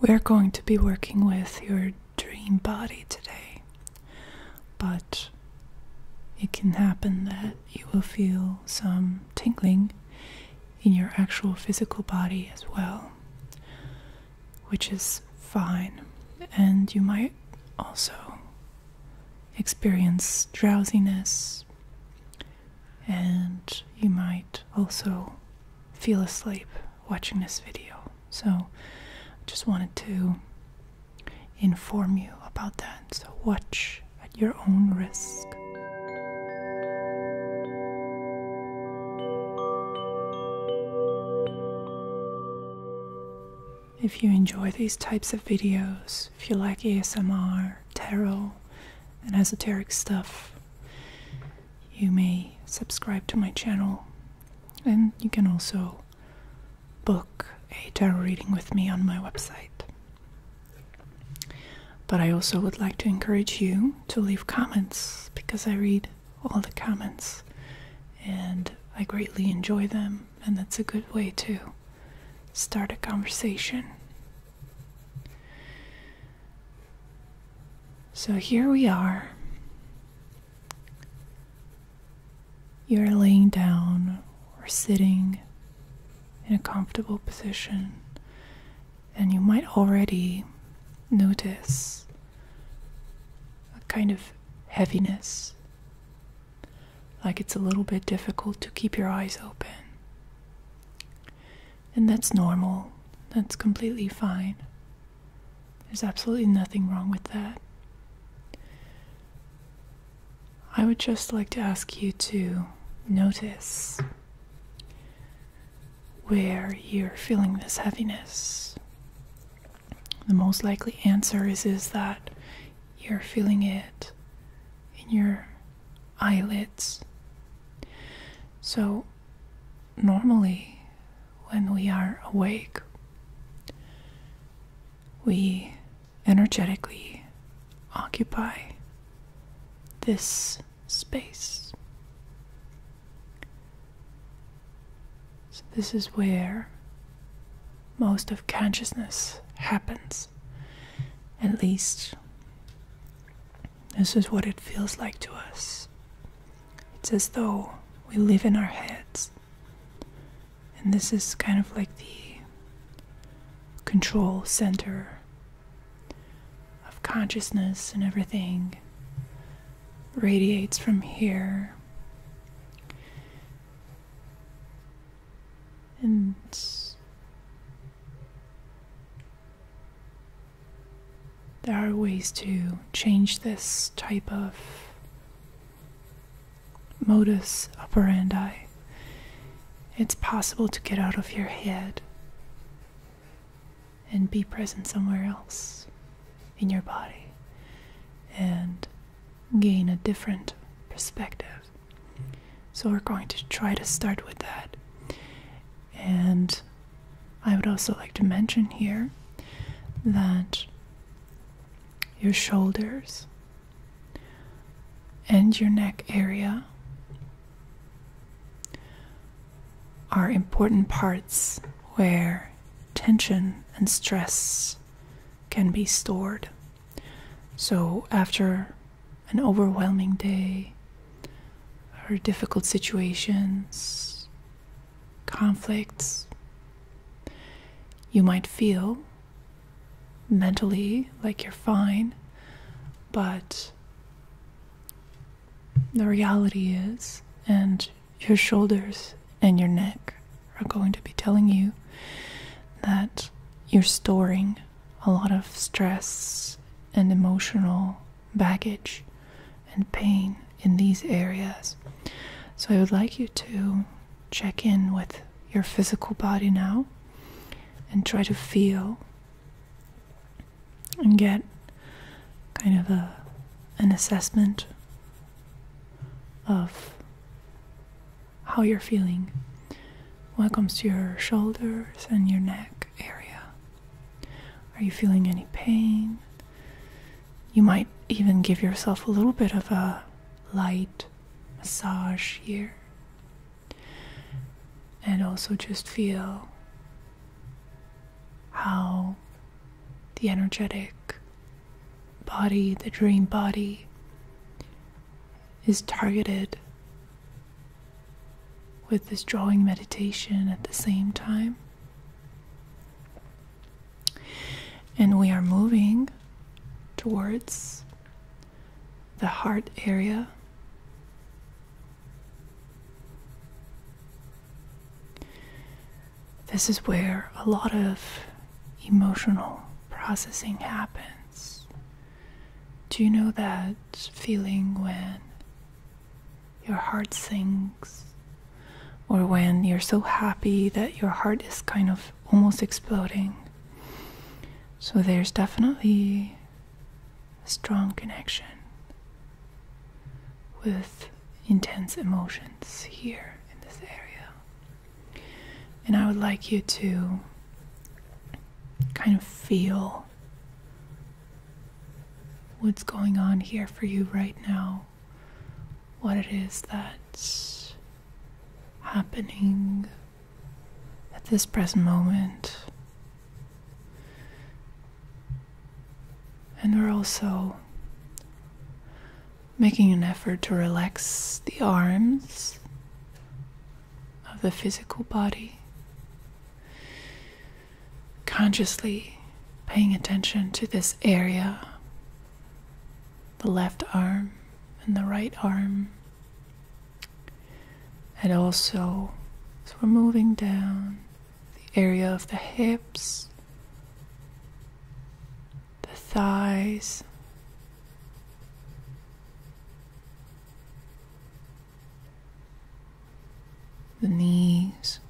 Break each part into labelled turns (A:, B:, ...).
A: We're going to be working with your dream body today, but it can happen that you will feel some tingling in your actual physical body as well, which is fine. And you might also experience drowsiness, and you might also feel asleep watching this video. So I just wanted to inform you about that. So watch at your own risk. If you enjoy these types of videos, if you like ASMR, tarot, and esoteric stuff, you may subscribe to my channel and you can also book a tarot reading with me on my website. But I also would like to encourage you to leave comments because I read all the comments and I greatly enjoy them, and that's a good way to start a conversation. So here we are. You're laying down or sitting in a comfortable position, and you might already notice a kind of heaviness, like it's a little bit difficult to keep your eyes open. And that's normal. That's completely fine. There's absolutely nothing wrong with that. I would just like to ask you to notice where you're feeling this heaviness. The most likely answer is, is that you're feeling it in your eyelids. So, normally, when we are awake, we energetically occupy this space. So, this is where most of consciousness happens at least. This is what it feels like to us. It's as though we live in our heads. And this is kind of like the control center of consciousness and everything radiates from here and there are ways to change this type of modus operandi. It's possible to get out of your head and be present somewhere else in your body and gain a different perspective. So we're going to try to start with that. And I would also like to mention here that your shoulders and your neck area are important parts where tension and stress can be stored. So, after an overwhelming day, her difficult situations, conflicts, you might feel mentally like you're fine, but the reality is, and your shoulders and your neck are going to be telling you that you're storing a lot of stress and emotional baggage and pain in these areas. So I would like you to check in with your physical body now and try to feel and get kind of a an assessment of how you're feeling when it comes to your shoulders and your neck area. Are you feeling any pain? You might even give yourself a little bit of a light massage here. And also just feel how the energetic body, the dream body, is targeted with this drawing meditation at the same time. And we are moving towards the heart area. This is where a lot of emotional processing happens. Do you know that feeling when your heart sings, Or when you're so happy that your heart is kind of almost exploding? So there's definitely a strong connection with intense emotions here in this area. And I would like you to kind of feel what's going on here for you right now, what it is that's happening at this present moment. And we're also Making an effort to relax the arms of the physical body. Consciously paying attention to this area the left arm and the right arm. And also, as we're moving down the area of the hips, the thighs. The knees,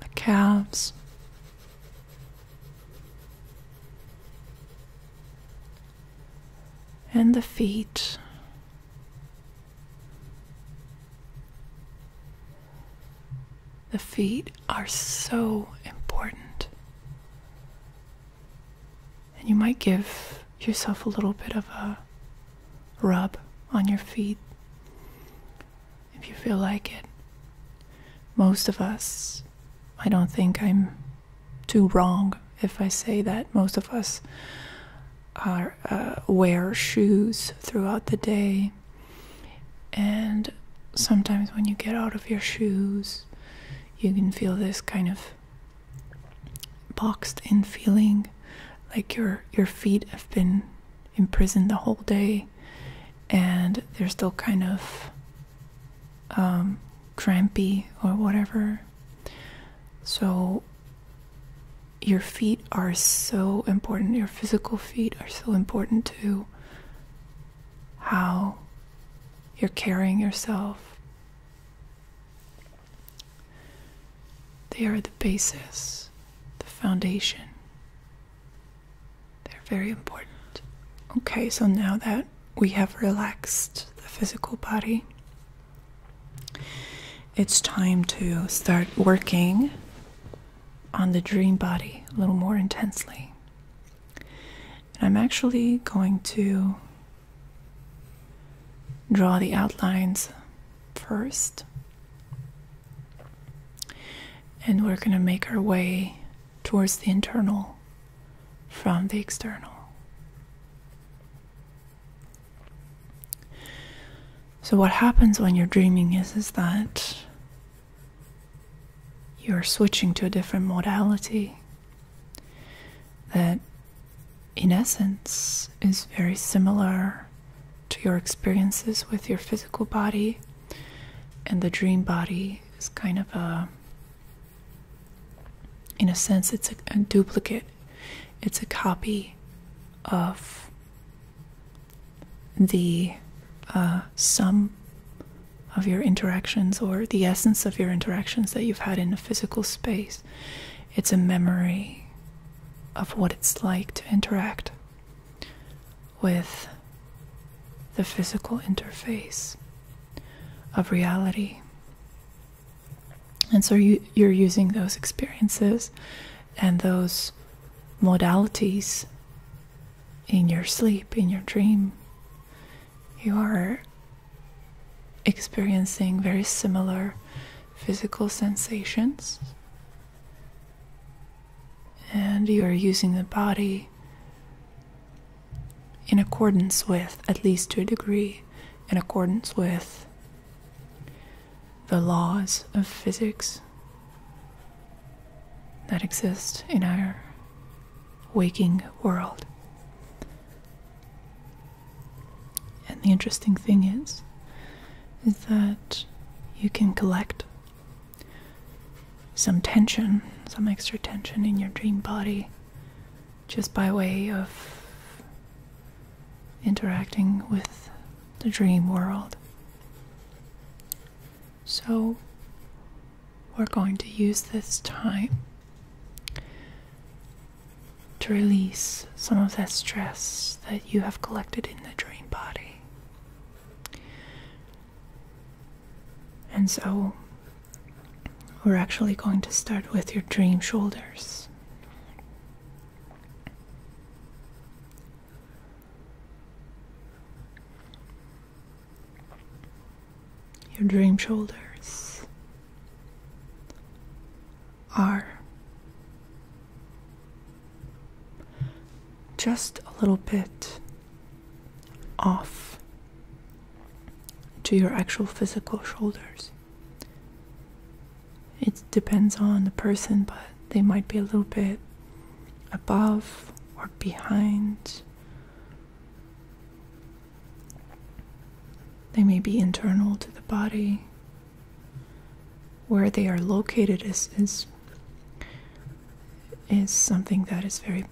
A: the calves, and the feet. The feet are so important. And you might give yourself a little bit of a rub on your feet if you feel like it. Most of us, I don't think I'm too wrong if I say that most of us are, uh, wear shoes throughout the day, and sometimes when you get out of your shoes, you can feel this kind of boxed in feeling, like your your feet have been imprisoned the whole day, and they're still kind of um, crampy or whatever. So your feet are so important, your physical feet are so important too. how you're carrying yourself. They are the basis, the foundation. They're very important. Okay, so now that we have relaxed the physical body, it's time to start working on the dream body a little more intensely. I'm actually going to draw the outlines first. And we're going to make our way towards the internal from the external. So what happens when you're dreaming is is that you're switching to a different modality that in essence is very similar to your experiences with your physical body and the dream body is kind of a in a sense it's a, a duplicate it's a copy of the uh, sum of your interactions or the essence of your interactions that you've had in a physical space. It's a memory of what it's like to interact with the physical interface of reality. And so you, you're using those experiences and those modalities in your sleep, in your dream. You are experiencing very similar physical sensations. And you are using the body in accordance with, at least to a degree, in accordance with the laws of physics that exist in our waking world. And the interesting thing is is that you can collect some tension, some extra tension in your dream body just by way of interacting with the dream world. So, we're going to use this time to release some of that stress that you have collected in the dream body. And so, we're actually going to start with your dream shoulders. Your dream shoulders are just a little bit off to your actual physical shoulders. It depends on the person, but they might be a little bit above or behind. They may be internal to the body. Where they are located is is is something that is very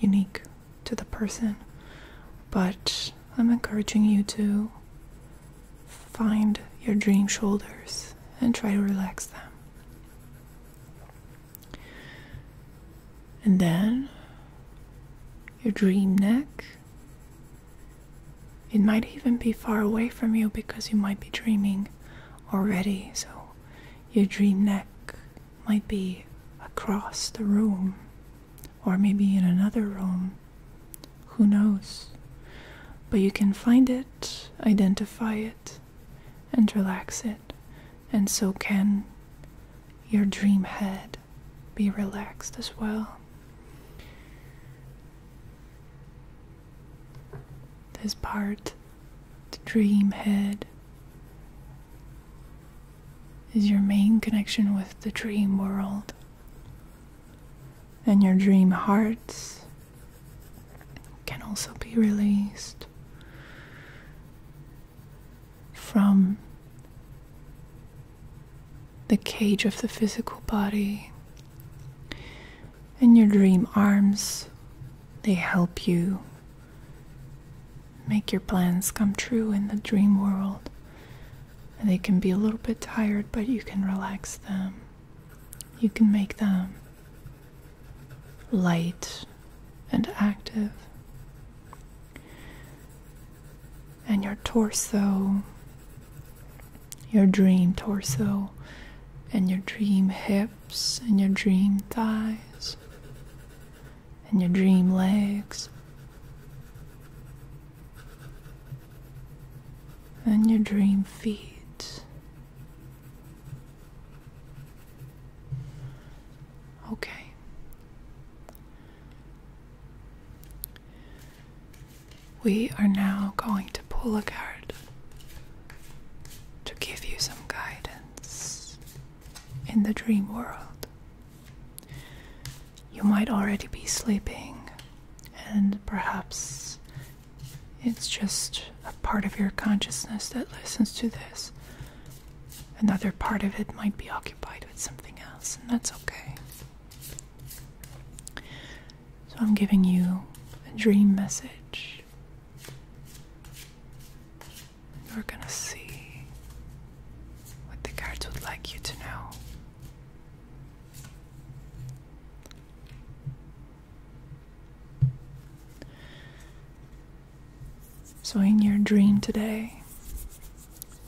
A: unique to the person, but I'm encouraging you to find your dream shoulders and try to relax them. And then your dream neck. It might even be far away from you because you might be dreaming already, so your dream neck might be across the room or maybe in another room. Who knows? But you can find it, identify it, and relax it, and so can your dream head be relaxed as well. This part, the dream head, is your main connection with the dream world. And your dream hearts can also be released from the cage of the physical body. And your dream arms, they help you make your plans come true in the dream world. They can be a little bit tired, but you can relax them. You can make them light and active. And your torso, your dream torso, and your dream hips, and your dream thighs, and your dream legs and your dream feet. Okay. We are now going to pull a card to give you some guidance in the dream world. You might already be sleeping, and perhaps it's just a part of your consciousness that listens to this. Another part of it might be occupied with something else, and that's okay. So, I'm giving you a dream message. You're gonna see what the guards would like you to know. So, in your dream today,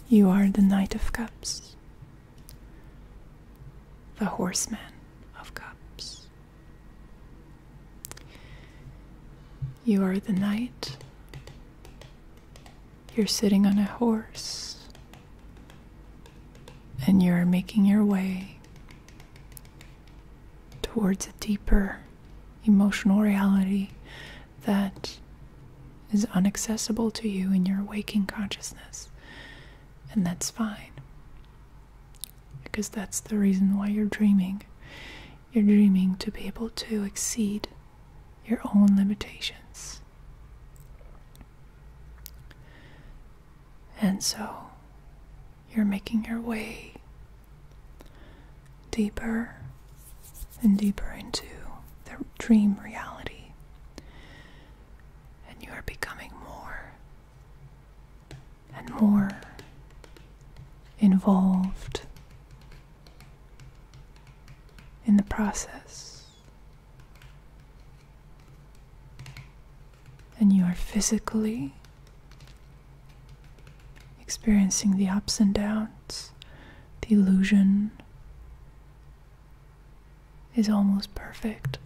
A: you are the Knight of Cups, the Horseman of Cups. You are the knight. You're sitting on a horse. And you're making your way towards a deeper emotional reality that is unaccessible to you in your waking consciousness. And that's fine. Because that's the reason why you're dreaming. You're dreaming to be able to exceed your own limitations. And so you're making your way deeper and deeper into the dream reality. And you are becoming more and more involved in the process. And you are physically experiencing the ups and downs. The illusion is almost perfect,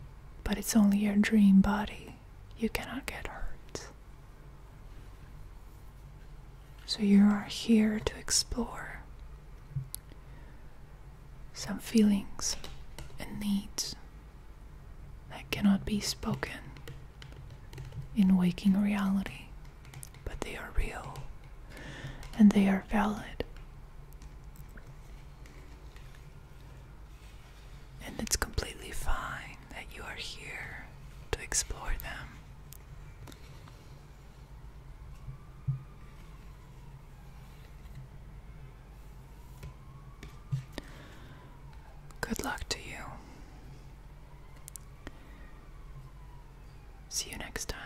A: but it's only your dream body. You cannot get hurt. So you are here to explore some feelings and needs that cannot be spoken in waking reality, but they are real and they are valid. And it's completely fine that you are here to explore them. Good luck to you. See you next time.